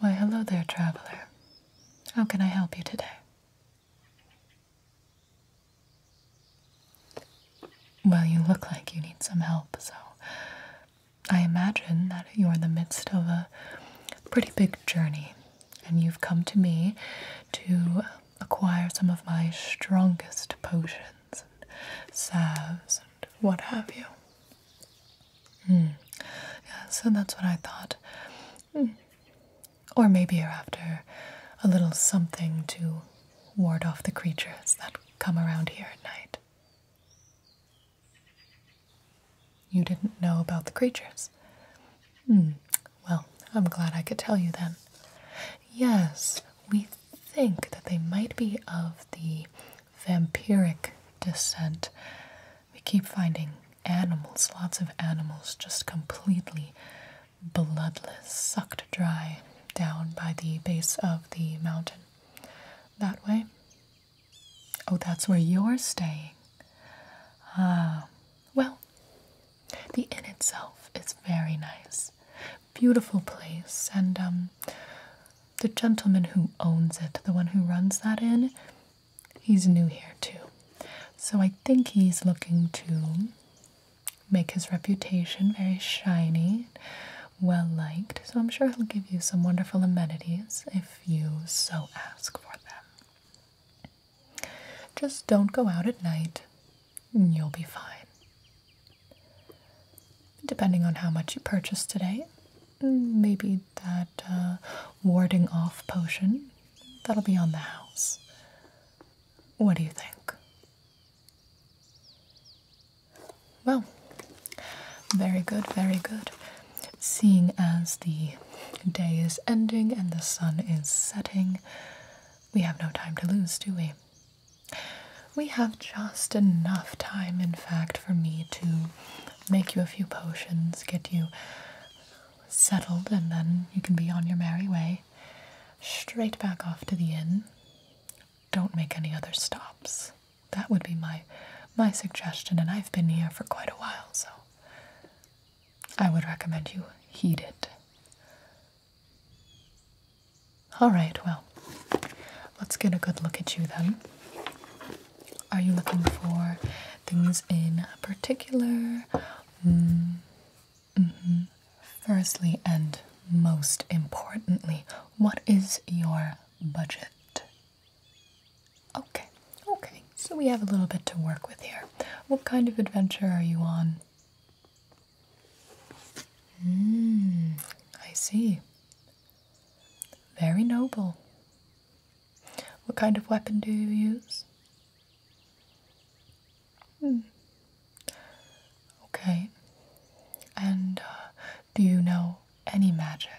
Why, hello there, traveler. How can I help you today? Well, you look like you need some help, so I imagine that you're in the midst of a pretty big journey, and you've come to me to acquire some of my strongest potions and salves and what have you. Mm. Yeah, so that's what I thought. Hmm. Or maybe you're after a little something to ward off the creatures that come around here at night. You didn't know about the creatures? Hmm. Well, I'm glad I could tell you then. Yes, we think that they might be of the vampiric descent. We keep finding animals, lots of animals, just completely bloodless, sucked dry down by the base of the mountain. That way? Oh, that's where you're staying. Ah, well, the inn itself is very nice. Beautiful place, and um, the gentleman who owns it, the one who runs that inn, he's new here too. So I think he's looking to make his reputation very shiny, well liked. So I'm sure he'll give you some wonderful amenities if you so ask for them. Just don't go out at night, and you'll be fine. Depending on how much you purchase today, maybe that uh, warding off potion that'll be on the house. What do you think? Well, very good, very good. Seeing as the day is ending and the sun is setting, we have no time to lose, do we? We have just enough time, in fact, for me to make you a few potions, get you settled, and then you can be on your merry way. Straight back off to the inn. Don't make any other stops. That would be my my suggestion, and I've been here for quite a while, so I would recommend you heed it. Alright, well, let's get a good look at you then. Are you looking for things in particular? Mm, Mm-hmm. Firstly, and most importantly, what is your budget? Okay, okay, so we have a little bit to work with here. What kind of adventure are you on? Mm, I see. Very noble. What kind of weapon do you use? Hmm. Okay. And uh, do you know any magic?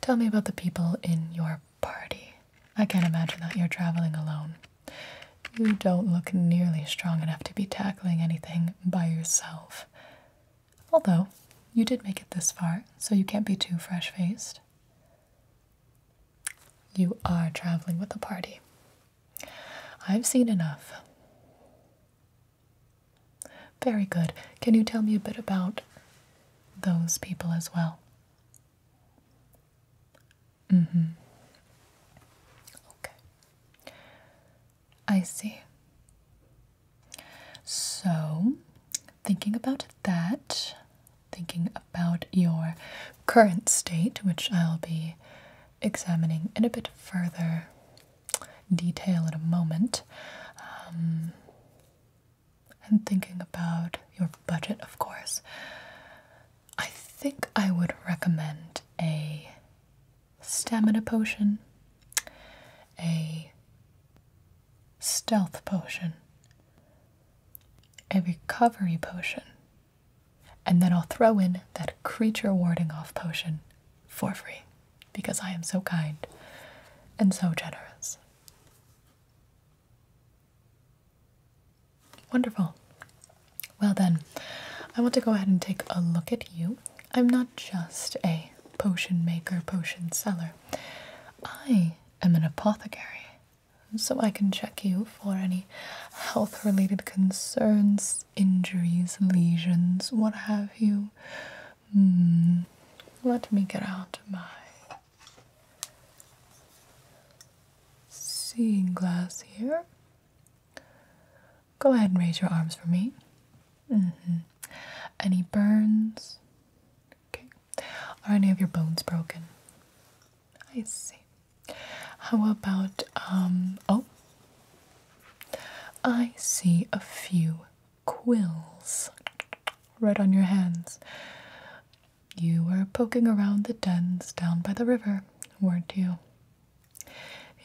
Tell me about the people in your party. I can't imagine that you're traveling alone. You don't look nearly strong enough to be tackling anything by yourself. Although, you did make it this far, so you can't be too fresh faced. You are traveling with a party. I've seen enough. Very good. Can you tell me a bit about those people as well? Mm hmm. Okay. I see. So, thinking about that, thinking about your current state, which I'll be examining in a bit further detail in a moment, um, and thinking about your budget, of course, I think I would recommend a stamina potion, a stealth potion, a recovery potion, and then I'll throw in that creature warding off potion for free because I am so kind and so generous. Wonderful. Well, then, I want to go ahead and take a look at you. I'm not just a potion maker, potion seller. I i am an apothecary, so I can check you for any health related concerns, injuries, lesions, what have you. Hmm, let me get out my seeing glass here. Go ahead and raise your arms for me. Mm-hmm. Any burns? Okay. Are any of your bones broken? I see. How about, um, oh, I see a few quills right on your hands. You were poking around the dens down by the river, weren't you?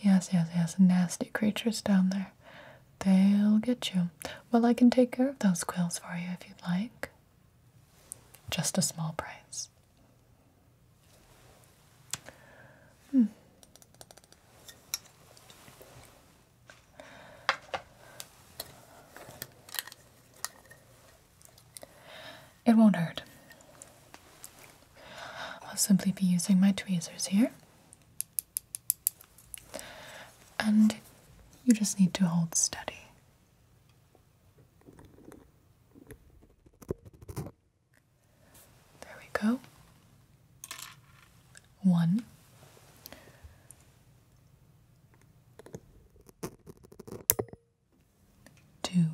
Yes, yes, yes, nasty creatures down there. They'll get you. Well, I can take care of those quills for you if you'd like. Just a small price. Hmm. It won't hurt. I'll simply be using my tweezers here. And you just need to hold steady. There we go. One. Two.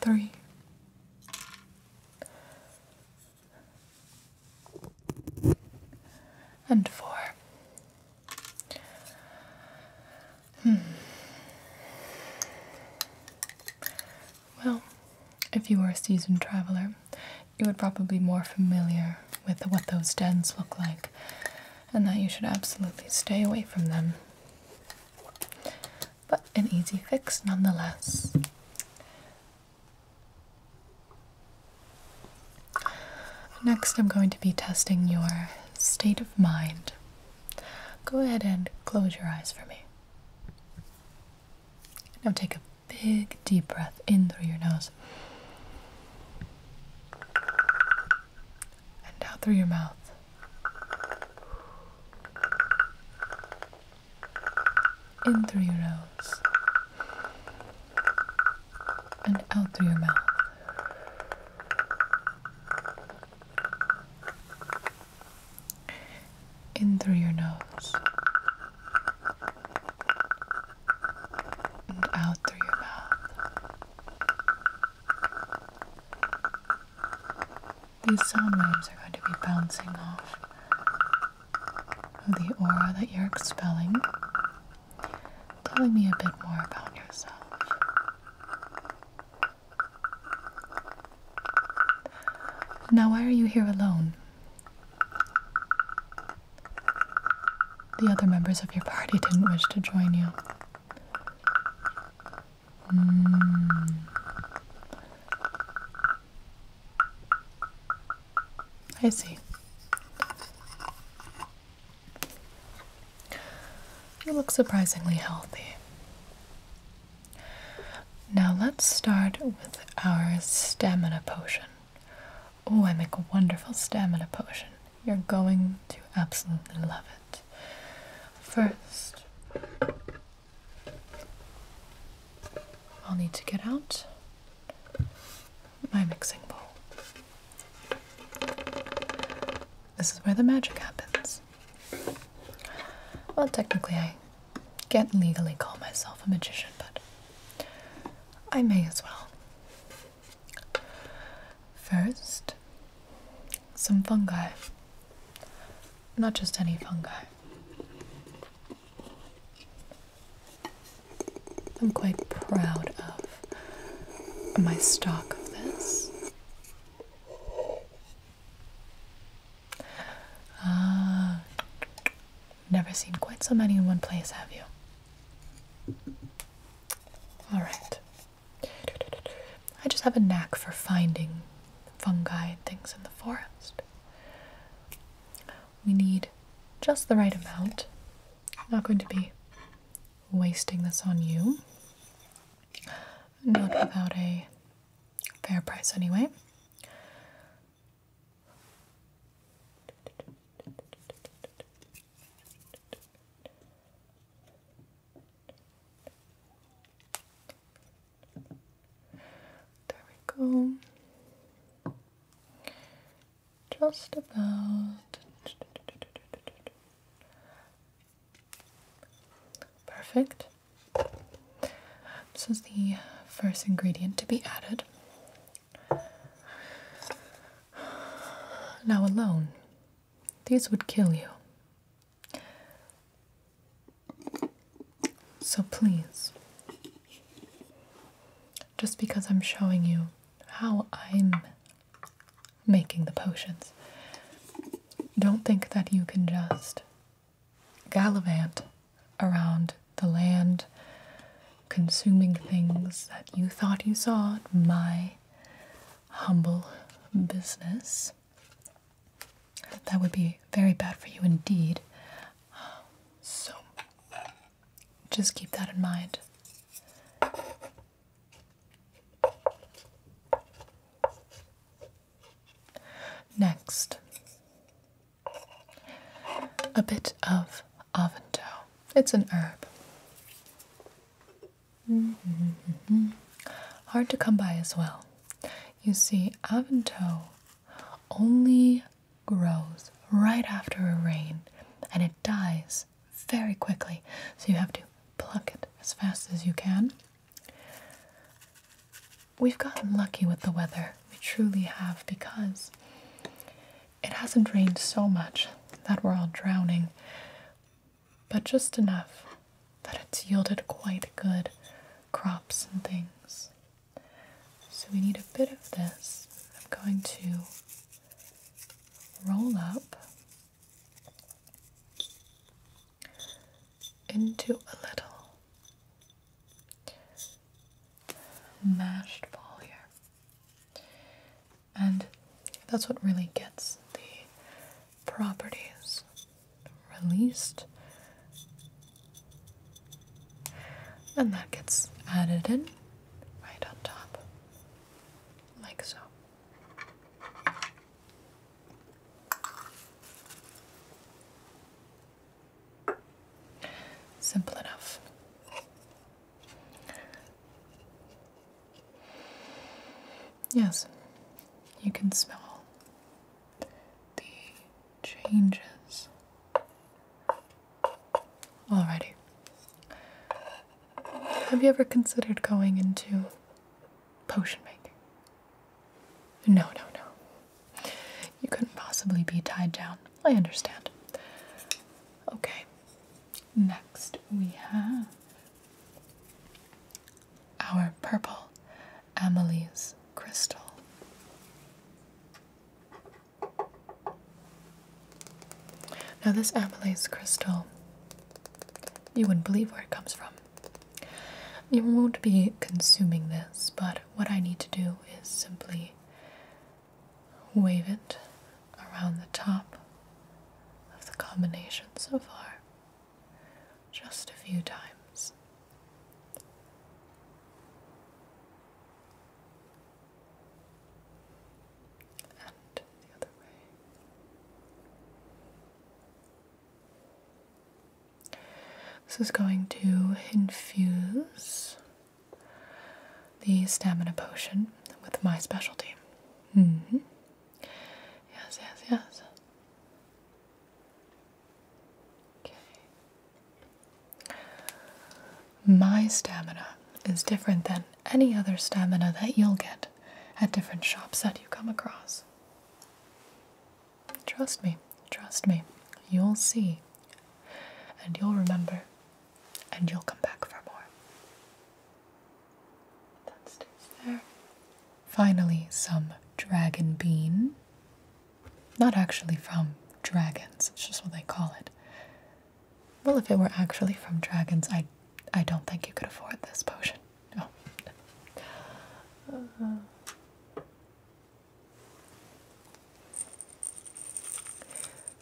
Three. And four. Hmm. Well, if you were a seasoned traveler, you would probably be more familiar with what those dens look like, and that you should absolutely stay away from them. But an easy fix nonetheless. Next, I'm going to be testing your state of mind. Go ahead and close your eyes for me. Now take a big deep breath in through your nose and out through your mouth. In through your nose and out through your mouth. In through your nose out through your mouth. These sound waves are going to be bouncing off the aura that you're expelling, telling me a bit more about yourself. Now, why are you here alone? The other members of your party didn't wish to join you. Hmm. I see. You look surprisingly healthy. Now let's start with our stamina potion. Oh, I make a wonderful stamina potion. You're going to absolutely love it. First, I'll need to get out my mixing bowl. This is where the magic happens. Well, technically, I can't legally call myself a magician, but I may as well. First, some fungi. Not just any fungi. I'm quite proud of my stock of this. Ah, never seen quite so many in one place, have you? All right. I just have a knack for finding fungi and things in the forest. We need just the right amount. I'm not going to be wasting this on you. Not without a fair price, anyway. There we go. Just about perfect. This is the first ingredient to be added. Now alone, these would kill you. So please, just because I'm showing you how I'm making the potions, don't think that you can just gallivant around the land consuming things that you thought you saw my humble business. That would be very bad for you indeed. So just keep that in mind. Next, a bit of Avento. It's an herb. Mm-hmm. Hard to come by as well. You see, Avento only grows right after a rain and it dies very quickly. So you have to pluck it as fast as you can. We've gotten lucky with the weather. We truly have because it hasn't rained so much that we're all drowning, but just enough that it's yielded quite good crops and things. So we need a bit of this. I'm going to roll up into a little mashed ball here. And that's what really gets the properties released. And that gets added in right on top, like so. Simple enough. Yes, you can smell the changes. already. Have you ever considered going into potion making? No, no, no. You couldn't possibly be tied down. I understand. Okay. Next, we have our purple Amelie's crystal. Now, this Amelie's crystal, you wouldn't believe where it comes from. You won't be consuming this, but what I need to do is simply wave it around the top of the combination so far just a few times. And the other way. This is going to infuse the stamina potion with my specialty. Mm-hmm. Yes, yes, yes. Okay. My stamina is different than any other stamina that you'll get at different shops that you come across. Trust me, trust me. You'll see and you'll remember and you'll come back for more. That stays there. Finally, some dragon bean. Not actually from dragons, it's just what they call it. Well, if it were actually from dragons, I, I don't think you could afford this potion. No. Uh-huh.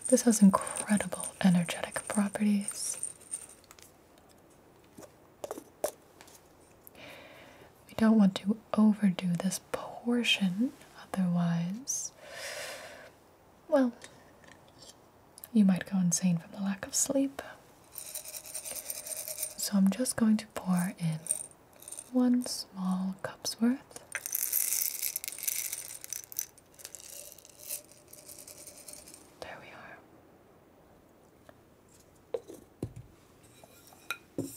This has incredible energetic properties. We don't want to overdo this portion, otherwise, well, you might go insane from the lack of sleep. So I'm just going to pour in one small cup's worth. There we are.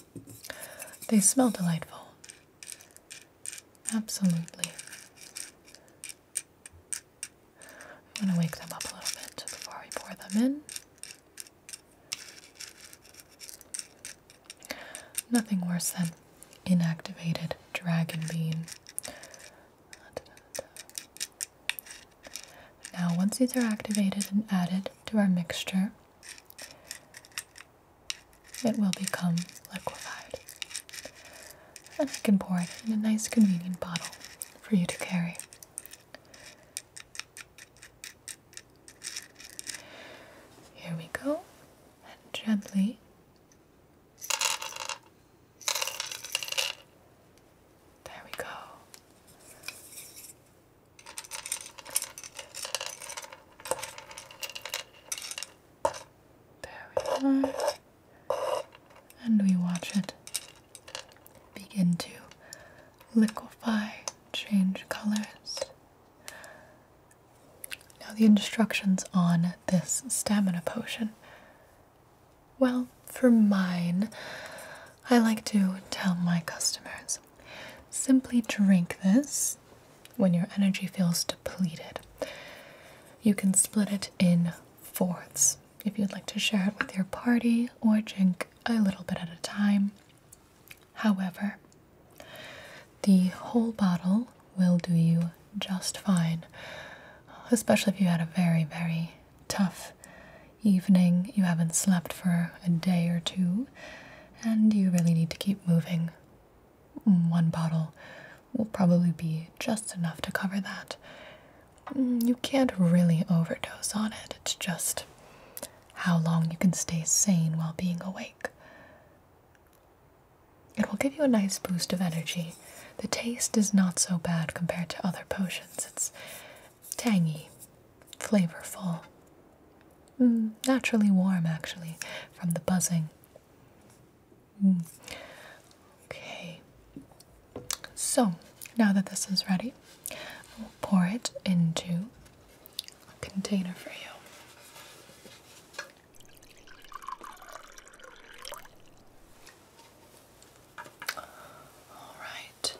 They smell delightful. Absolutely. I'm going to wake them up a little bit before we pour them in. Nothing worse than inactivated dragon bean. Now, once these are activated and added to our mixture, it will become liquefied. And we can pour it in a nice, convenient bottle for you to carry. Here we go, and gently there we go. There we are. And we watch it begin to liquefy, change colors. Now, the instructions on this stamina potion. Well, for mine, I like to tell my customers simply drink this when your energy feels depleted. You can split it in fourths if you'd like to share it with your party or drink a little bit at a time. However, the whole bottle will do you just fine, especially if you had a very, very tough evening, you haven't slept for a day or two, and you really need to keep moving. One bottle will probably be just enough to cover that. You can't really overdose on it, it's just how long you can stay sane while being awake. It will give you a nice boost of energy. The taste is not so bad compared to other potions. It's tangy, flavorful, mm, naturally warm, actually, from the buzzing. Mm. Okay, so now that this is ready, I will pour it into a container for you. Alright.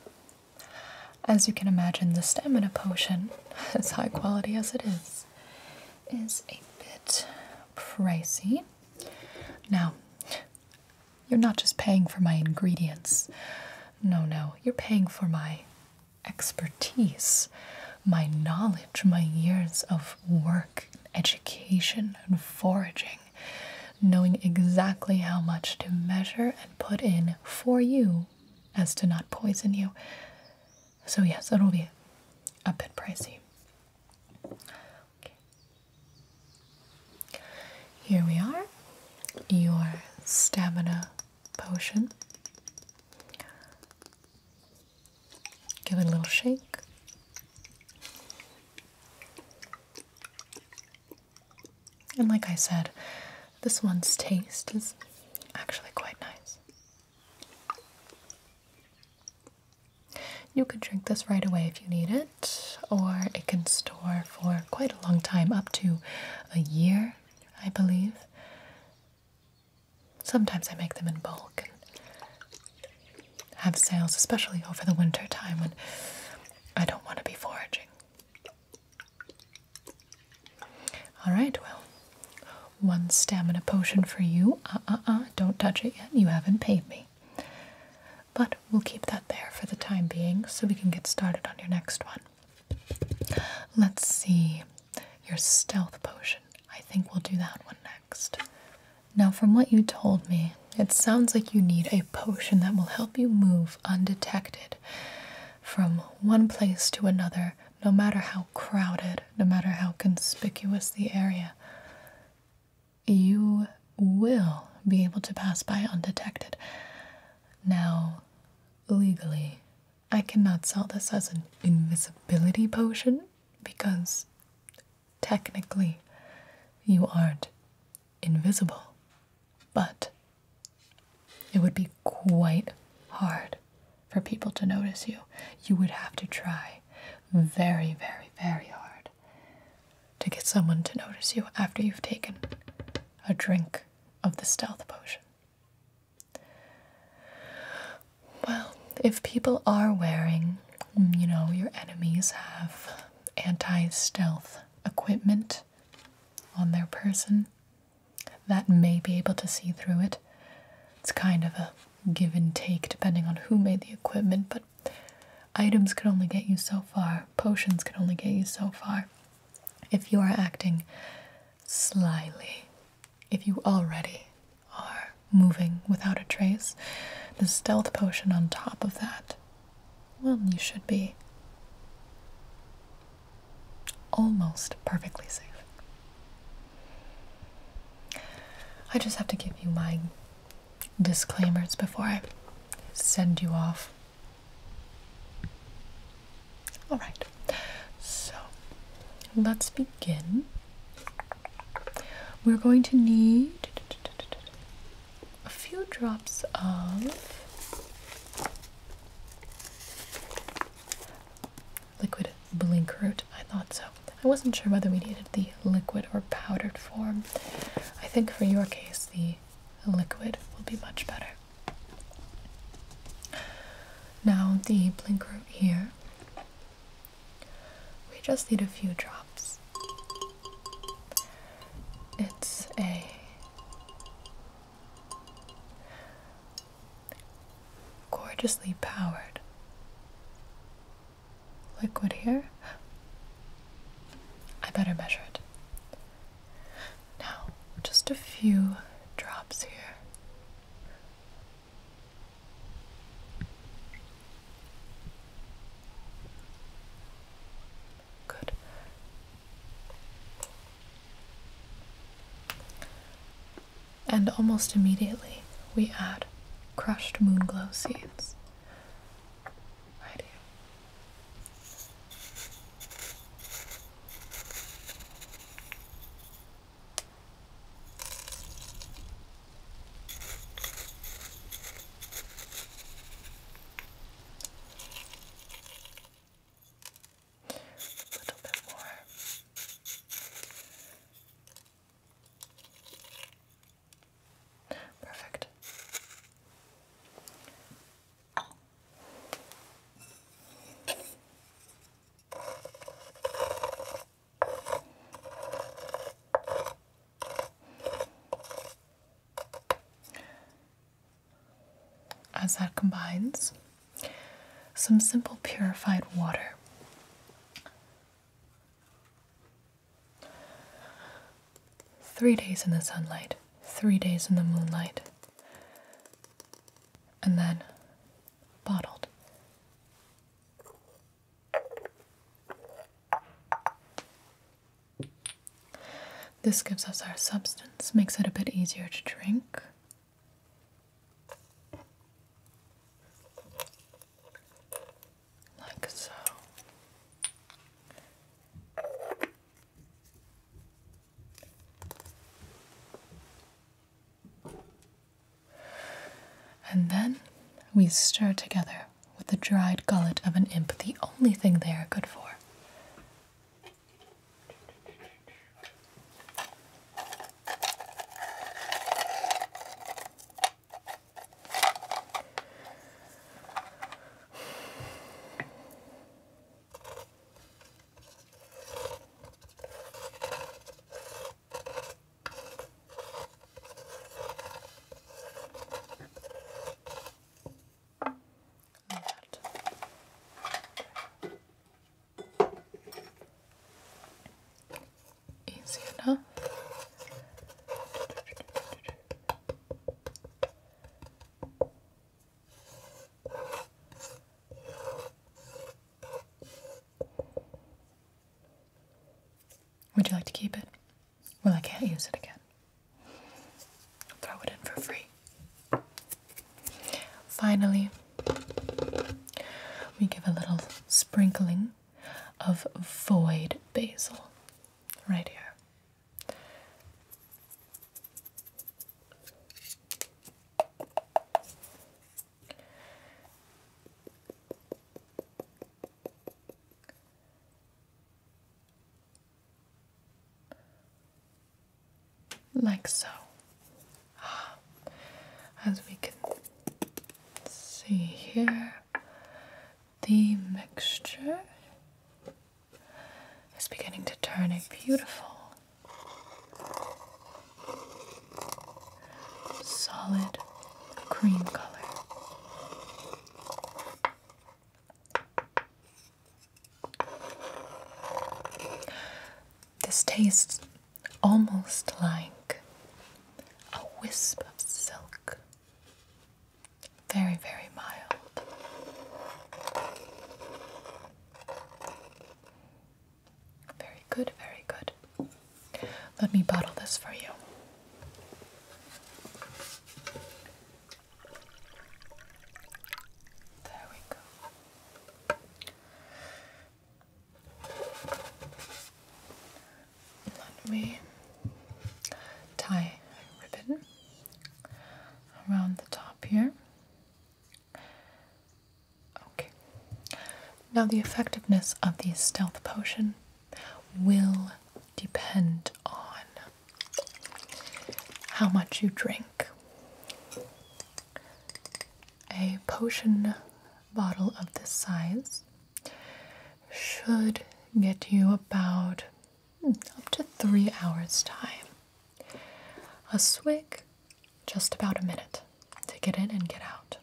As you can imagine, the stamina potion, as high quality as it is, is a bit pricey. Now, you're not just paying for my ingredients. No, no, you're paying for my expertise, my knowledge, my years of work, education, and foraging, knowing exactly how much to measure and put in for you as to not poison you. So, yes, it'll be a bit pricey. Here we are, your stamina potion. Give it a little shake. And like I said, this one's taste is actually quite nice. You could drink this right away if you need it, or it can store for quite a long time, up to a year, I believe. Sometimes I make them in bulk and have sales, especially over the winter time when I don't want to be foraging. Alright, well, one stamina potion for you. Uh uh uh, don't touch it yet. You haven't paid me. But we'll keep that there for the time being so we can get started on your next one. Let's see. Your stealth potion. I think we'll do that one next. Now, from what you told me, it sounds like you need a potion that will help you move undetected from one place to another, no matter how crowded, no matter how conspicuous the area. You will be able to pass by undetected. Now, legally, I cannot sell this as an invisibility potion because technically you aren't invisible. But it would be quite hard for people to notice you. You would have to try very, very, very hard to get someone to notice you after you've taken a drink of the stealth potion. Well, if people are wearing, you know, your enemies have anti stealth equipment on their person that may be able to see through it. It's kind of a give and take depending on who made the equipment, but items can only get you so far, potions can only get you so far if you are acting slyly if you already are moving without a trace, the stealth potion on top of that, well, you should be almost perfectly safe. I just have to give you my disclaimers before I send you off. All right. So let's begin. We're going to need a few drops of liquid blink I thought so. I wasn't sure whether we needed the liquid or powdered form. I think for your case, the liquid will be much better. Now, the blink here we just need a few drops. It's a gorgeously powered liquid here. I better measure it. Now, just a few drops here. Good. And almost immediately, we add crushed moon glow seeds. Right here. A little bit more. Perfect. As that combines, some simple purified water. Three days in the sunlight, three days in the moonlight, and then bottled. This gives us our substance, makes it a bit easier to drink. Like so. And then we stir together with the dried gullet of an imp, the only thing they are good for. Easy enough. Would you like to keep it? Well, I can't use it again. throw it in for free. Finally, we give a little sprinkling of void basil right here. Like so. Ah. As we can see here, the mixture is beginning to turn a beautiful solid cream color. This tastes almost like a wisp of silk. Very, very mild. Very good, very good. Let me bottle this for you. There we go. Let me tie a ribbon around the top here. Okay. Now, the effectiveness of the stealth potion will depend on how much you drink. A potion bottle of this size should get you about hmm, up to three hours' time. A swig just about a minute to get in and get out.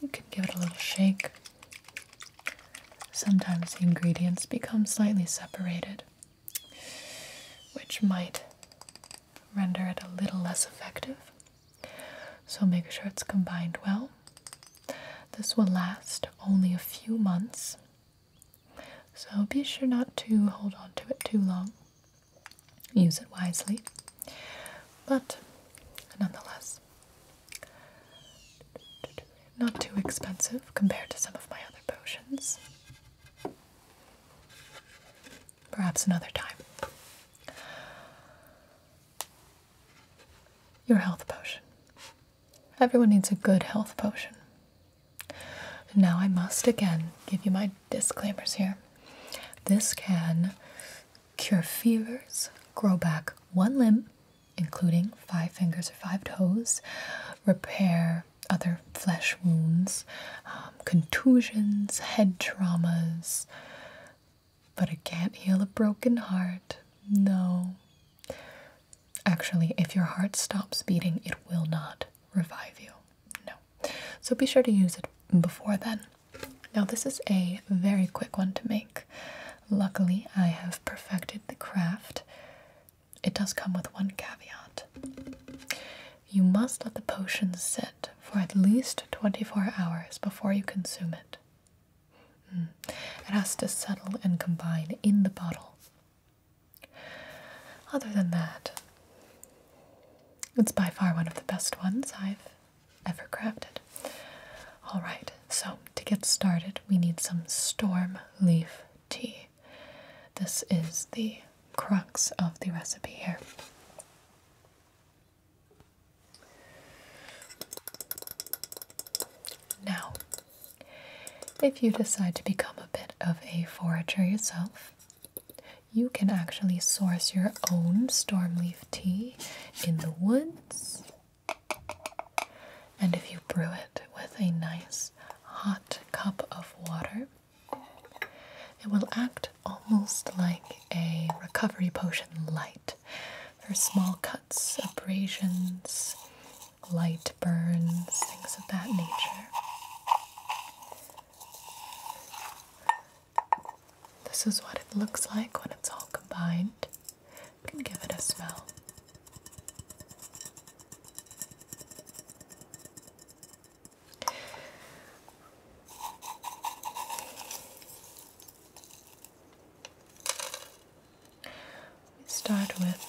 You can give it a little shake. Sometimes the ingredients become slightly separated, which might render it a little less effective. So make sure it's combined well. This will last only a few months, so be sure not to hold on to it too long use it wisely. But nonetheless, not too expensive compared to some of my other potions. Perhaps another time. Your health potion. Everyone needs a good health potion. Now, I must again give you my disclaimers here. This can cure fevers, grow back one limb, including five fingers or five toes, repair other flesh wounds, um, contusions, head traumas. But it can't heal a broken heart. No. Actually, if your heart stops beating, it will not revive you. No. So be sure to use it before then. Now, this is a very quick one to make. Luckily, I have perfected the craft. It does come with one caveat you must let the potion sit for at least 24 hours before you consume it. Hmm. It has to settle and combine in the bottle. Other than that, it's by far one of the best ones I've ever crafted. Alright, so to get started, we need some storm leaf tea. This is the crux of the recipe here. Now, if you decide to become a bit of a forager yourself, you can actually source your own stormleaf tea in the woods. And if you brew it with a nice hot cup of water, it will act almost like a recovery potion light for small cuts, abrasions, light burns, things of that nature. This is what it looks like when it's all combined. can give it a smell. We start with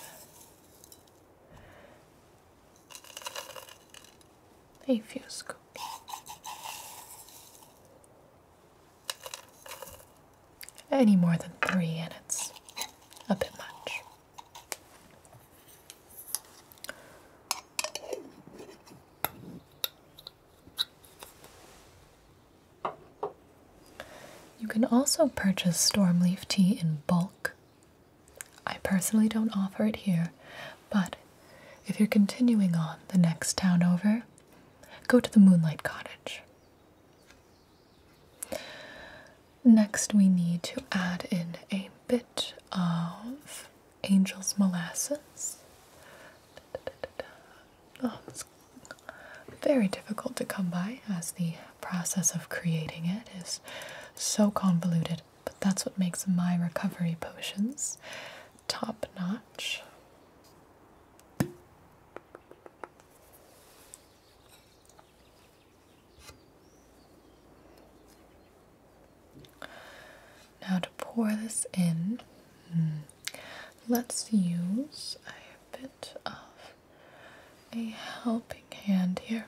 a few scoops. Any more than three, and it's a bit much. You can also purchase stormleaf tea in bulk I personally don't offer it here, but if you're continuing on the next town over, go to the Moonlight Cottage. Next, we need to add in a bit of angel's molasses. Oh, it's very difficult to come by as the process of creating it is so convoluted. But that's what makes my recovery potions top notch. Now, to pour this in, hmm, let's use a bit of a helping hand here.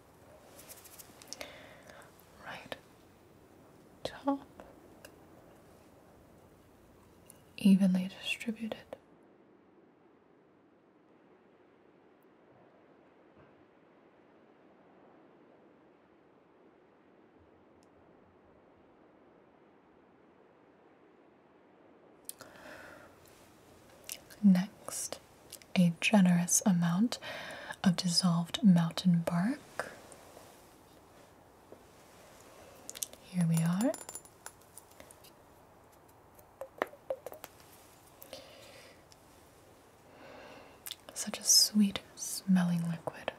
right top, evenly distributed. Next, a generous amount of dissolved mountain bark. Here we are. Such a sweet smelling liquid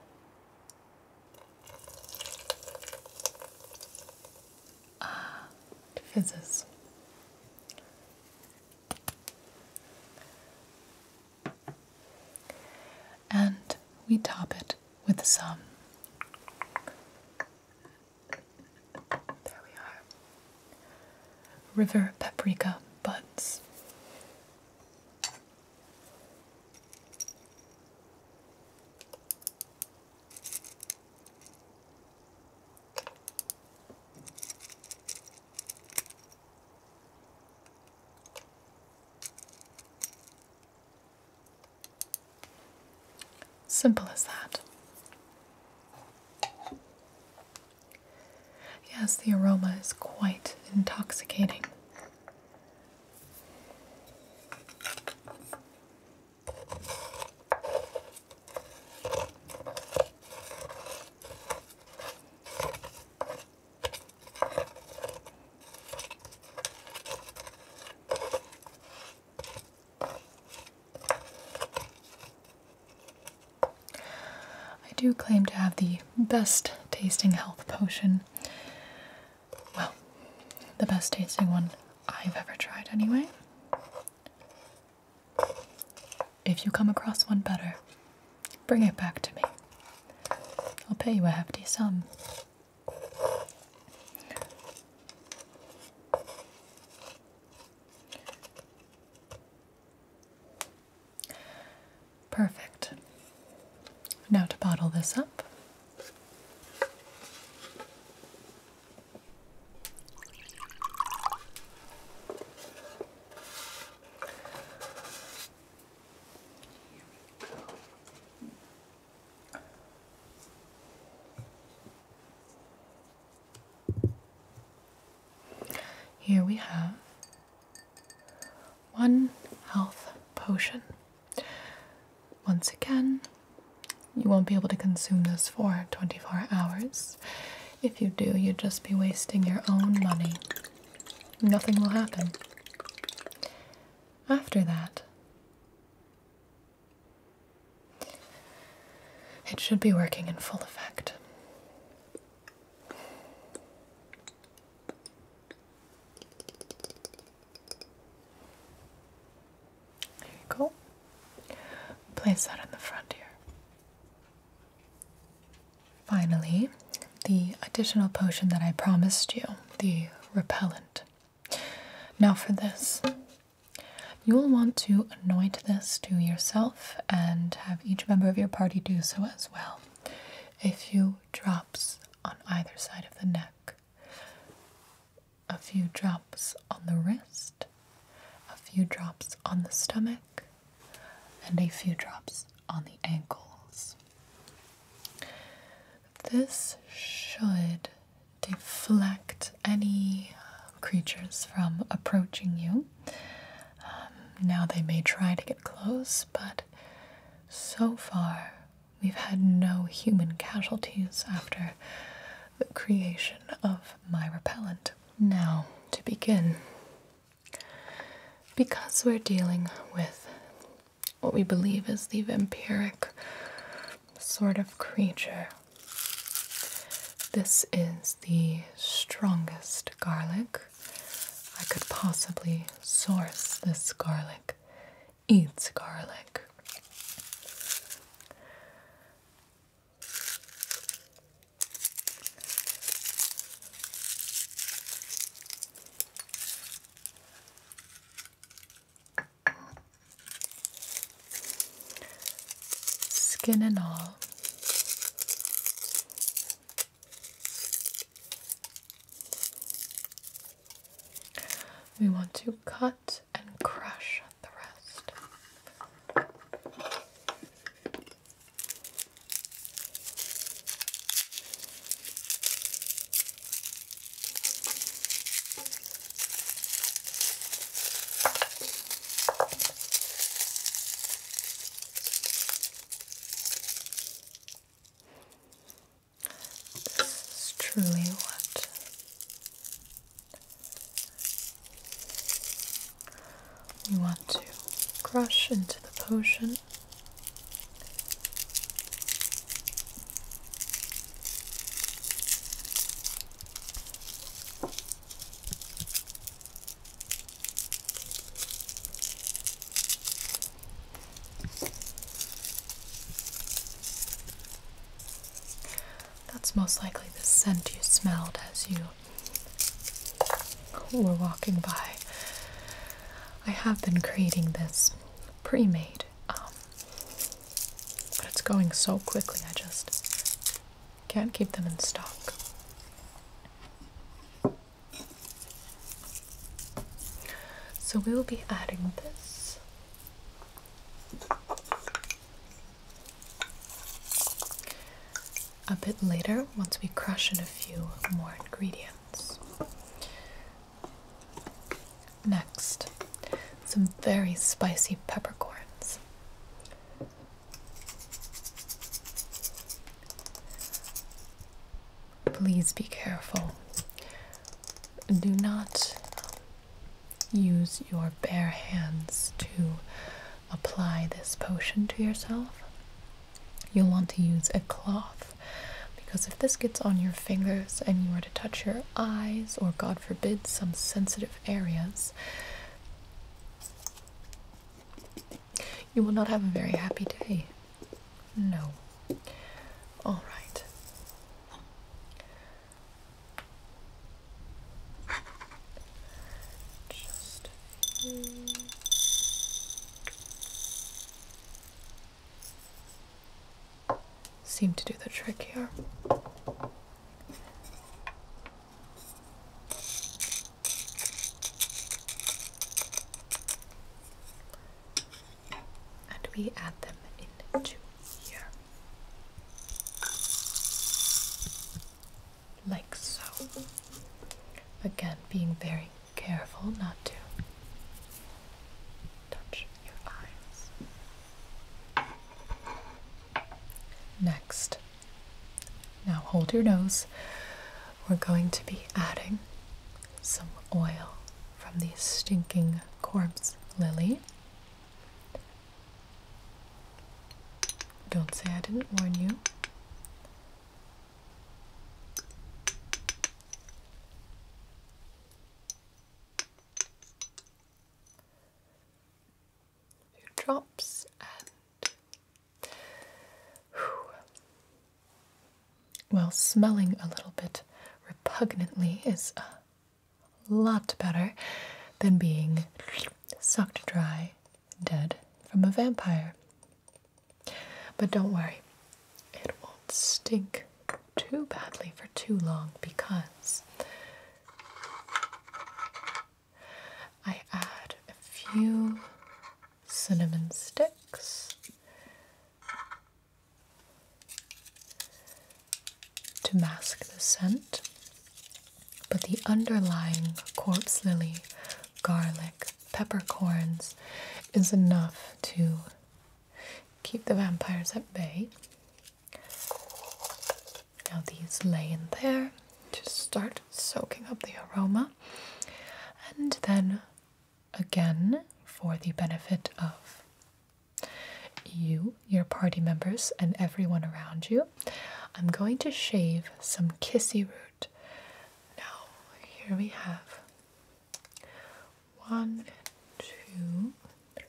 fizzes. And we top it with some. River paprika buds. Simple as that. Yes, the aroma is quite intoxicating. I do claim to have the best tasting health potion. Well, the best tasting one I've ever tried, anyway. If you come across one better, bring it back to me. I'll pay you a hefty sum. Perfect. Now to bottle this up. Here we have one health potion. Once again, you won't be able to consume this for 24 hours. If you do, you'd just be wasting your own money. Nothing will happen. After that, it should be working in full effect. There you go. Place that in the front here. Finally, the additional potion that I promised you, the repellent. Now, for this, you'll want to anoint this to yourself and have each member of your party do so as well. A few drops on either side of the neck a few drops on the wrist, a few drops on the stomach, and a few drops on the ankles. This should deflect any uh, creatures from approaching you. Um, now they may try to get close, but so far we've had no human casualties after the creation of my repellent. Now, to begin, because we're dealing with what we believe is the vampiric sort of creature, this is the strongest garlic. I could possibly source this garlic. Eats garlic. Skin and all. We want to cut and crush the rest. This is truly what you want to crush into the potion. That's most likely the scent you smelled as you were walking by. I have been creating this pre made, um, but it's going so quickly, I just can't keep them in stock. So we will be adding this. A bit later, once we crush in a few more ingredients. Next, some very spicy peppercorns. Please be careful. Do not use your bare hands to apply this potion to yourself. You'll want to use a cloth because if this gets on your fingers and you are to touch your eyes or, God forbid, some sensitive areas, you will not have a very happy day. No. Alright. Seem to do the trick here. And we add them into here. Like so. Again, being very careful not to touch your eyes. Next, now hold your nose. We're going to be adding some oil from the stinking corpse lily. Don't say I didn't warn you. drops and well, smelling a little bit repugnantly is a a lot better than being sucked dry dead from a vampire. But don't worry, it won't stink too badly for too long because I add a few cinnamon sticks to mask the scent, but the underlying corpse lily, garlic, peppercorns is enough to keep the vampires at bay. Now, these lay in there, to start soaking up the aroma, and then again, for the benefit of you, your party members, and everyone around you, I'm going to shave some kissy root. Now, here we have one, two, three.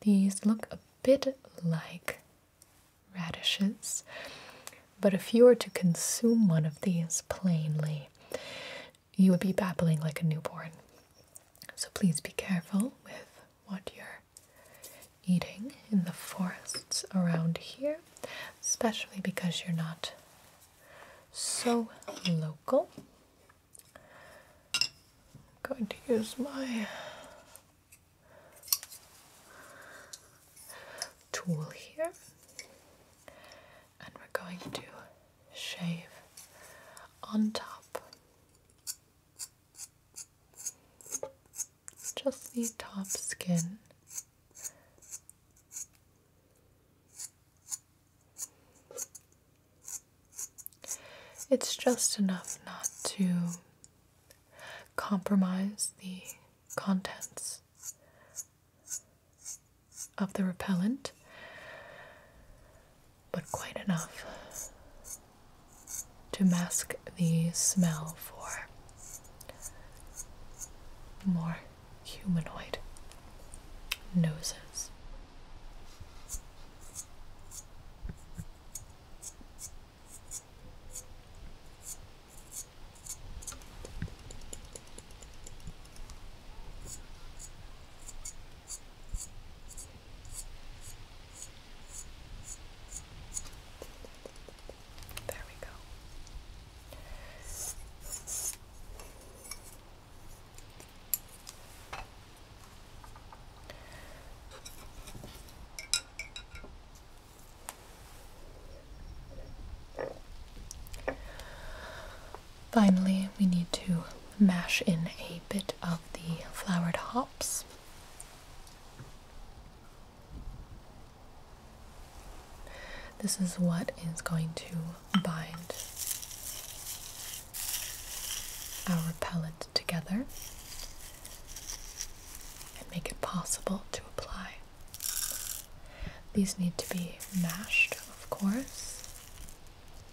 These look a bit like radishes, but if you were to consume one of these plainly, you would be babbling like a newborn. So please be careful with what you're eating in the forests around here, especially because you're not so local. I'm going to use my tool here and we're going to shave on top just the top skin. It's just enough not to compromise the contents of the repellent but quite enough to mask the smell for more humanoid noses. There we go. Finally, we need to mash in a bit of the flowered hops. This is what is going to bind our pellet together and make it possible to apply. These need to be mashed, of course,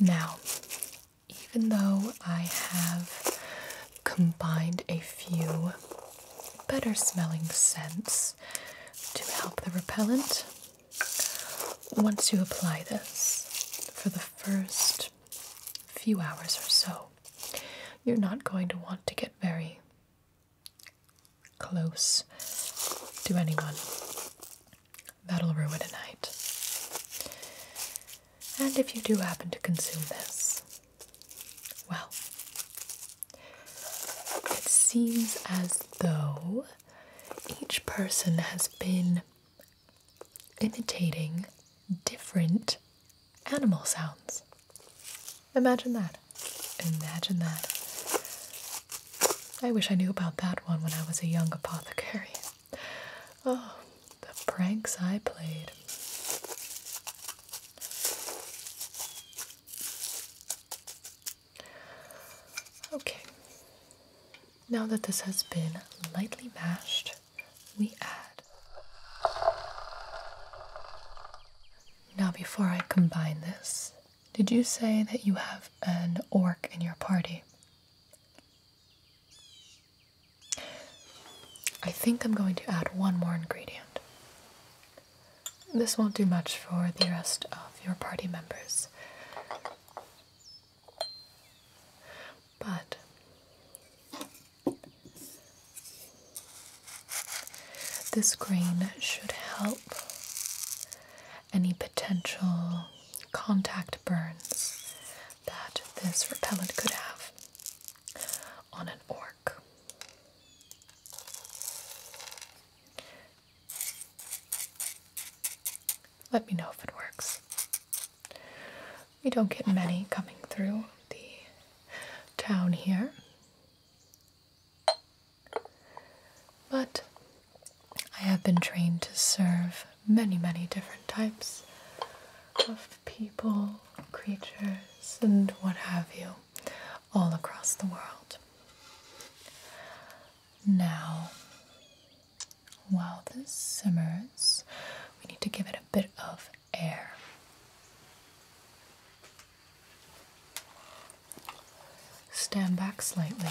Now, even though I have combined a few better smelling scents to help the repellent. Once you apply this for the first few hours or so, you're not going to want to get very close to anyone. That'll ruin a night. And if you do happen to consume this, well, it seems as though each person has been imitating different animal sounds. Imagine that. Imagine that. I wish I knew about that one when I was a young apothecary. Oh, the pranks I played. Okay, now that this has been lightly mashed, we add. Now, before I combine this, did you say that you have an orc in your party? I think I'm going to add one more ingredient. This won't do much for the rest of your party members. But this grain should help any potential contact burns that this repellent could have on an orc. Let me know if it works. We don't get many coming through the town here. But I have been trained to serve many, many different types of people creatures, and what have you, all across the world. Now, while this simmers, we need to give it a bit of air. Stand back slightly.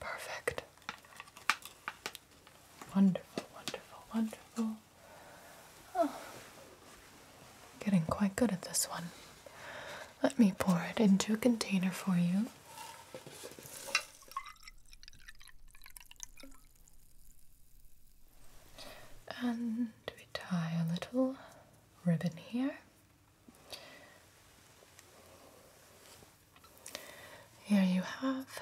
Perfect. Wonderful, wonderful, wonderful. Oh, getting quite good at this one. Let me pour it into a container for you. And we tie a little ribbon here. Here you have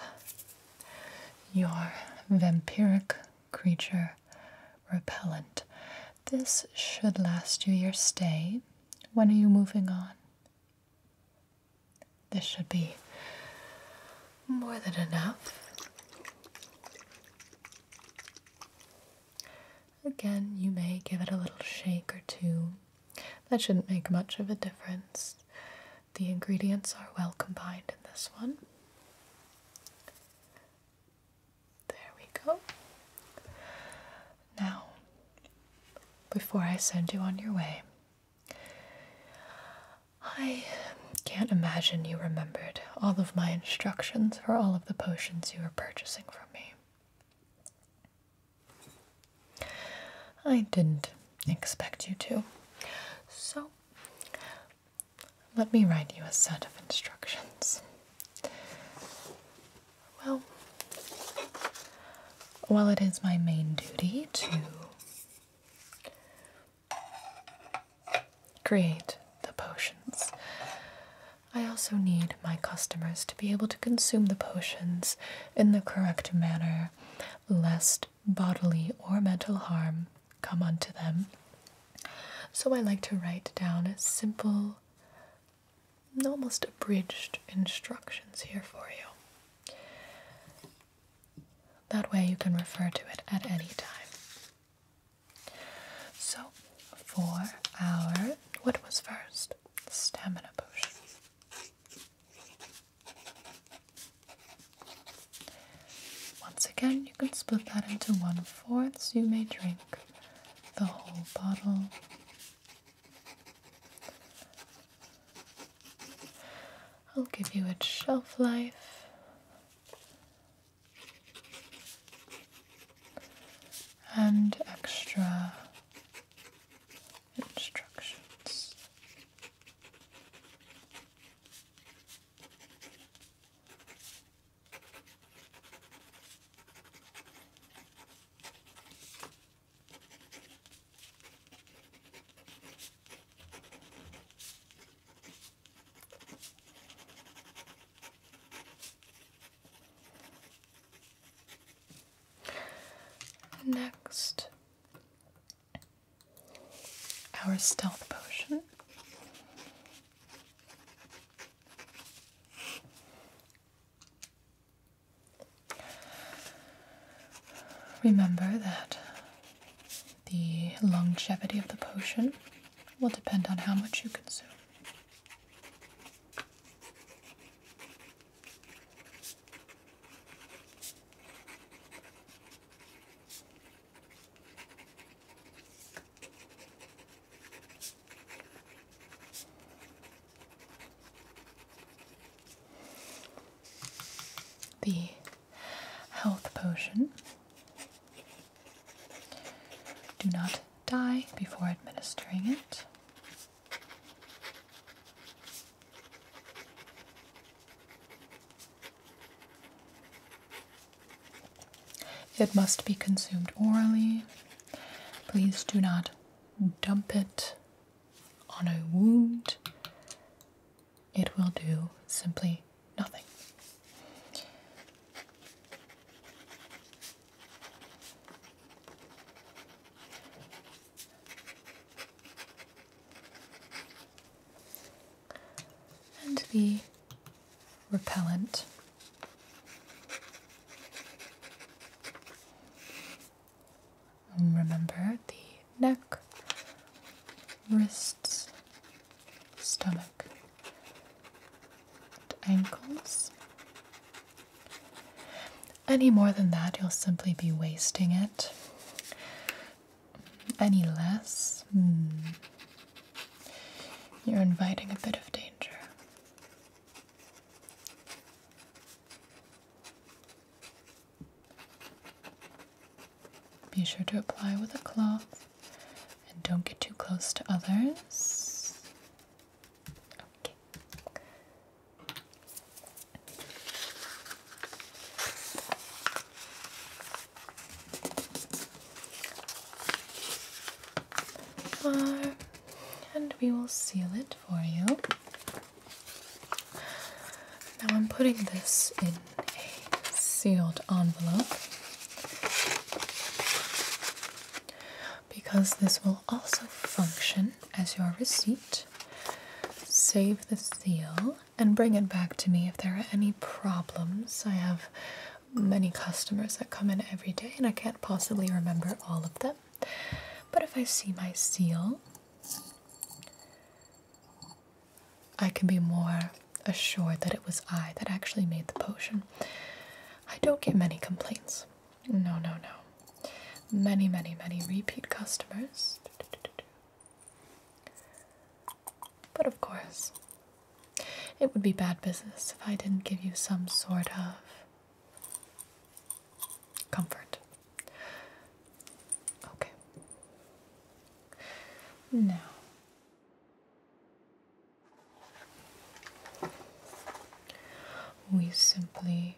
your vampiric creature repellent. This should last you your stay. When are you moving on? This should be more than enough. Again, you may give it a little shake or two. That shouldn't make much of a difference. The ingredients are well combined in this one. There we go. Now, before I send you on your way, I can't imagine you remembered all of my instructions for all of the potions you were purchasing from me. I didn't expect you to. So, let me write you a set of instructions. Well, while it is my main duty to create the potions, I also need my customers to be able to consume the potions in the correct manner, lest bodily or mental harm come unto them. So I like to write down a simple, almost abridged instructions here for you. That way you can refer to it at any time. So, for our what was first? Stamina potion. Once again, you can split that into one fourths. You may drink the whole bottle. I'll give you its shelf life and extra instructions. Next, our stealth potion. Remember that the longevity of the potion will depend on how much you consume. The health potion do not die before administering it. It must be consumed orally. Please do not dump it on a wound. It will do simply nothing and the repellent. remember the neck, wrists, stomach, ankles. Any more than that, you'll simply be wasting it. Any less, hmm. you're inviting a bit of danger. Be sure to apply with a cloth and don't get too close to others. Okay. and we will seal it for you. Now I'm putting this in a sealed envelope because this will also function as your receipt. Save the seal and bring it back to me if there are any problems. I have many customers that come in every day and I can't possibly remember all of them. But if I see my seal, I can be more assured that it was I that actually made the potion. I don't get many complaints. No, no, no. Many, many, many repeat customers. But of course, it would be bad business if I didn't give you some sort of comfort. Okay. Now, we simply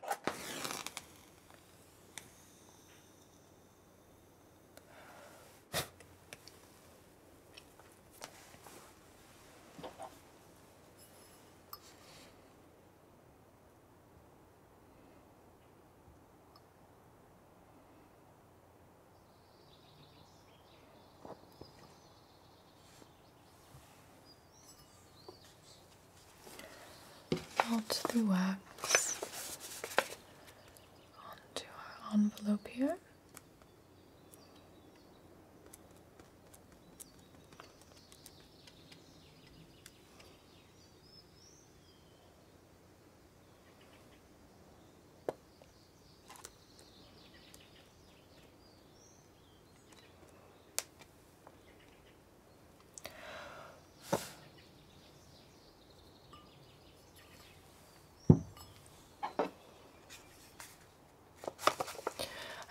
Melt the wax onto our envelope here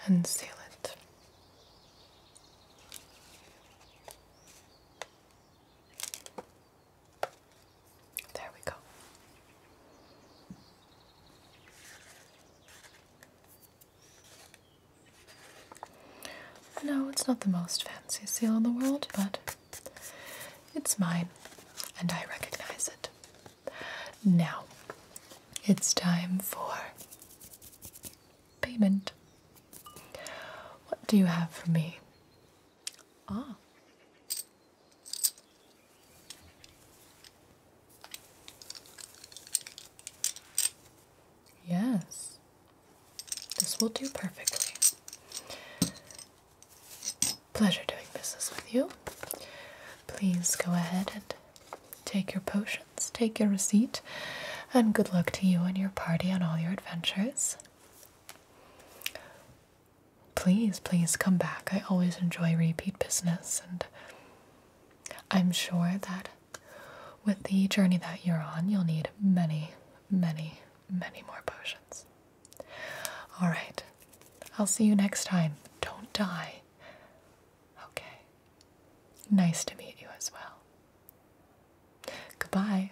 and seal it. There we go. No, it's not the most fancy seal in the world, but it's mine and I recognize it. Now, it's time for payment. What do you have for me? Ah, Yes, this will do perfectly. Pleasure doing business with you. Please go ahead and take your potions, take your receipt, and good luck to you and your party on all your adventures please, please come back. I always enjoy repeat business, and I'm sure that with the journey that you're on, you'll need many, many, many more potions. All right, I'll see you next time. Don't die. Okay. Nice to meet you as well. Goodbye.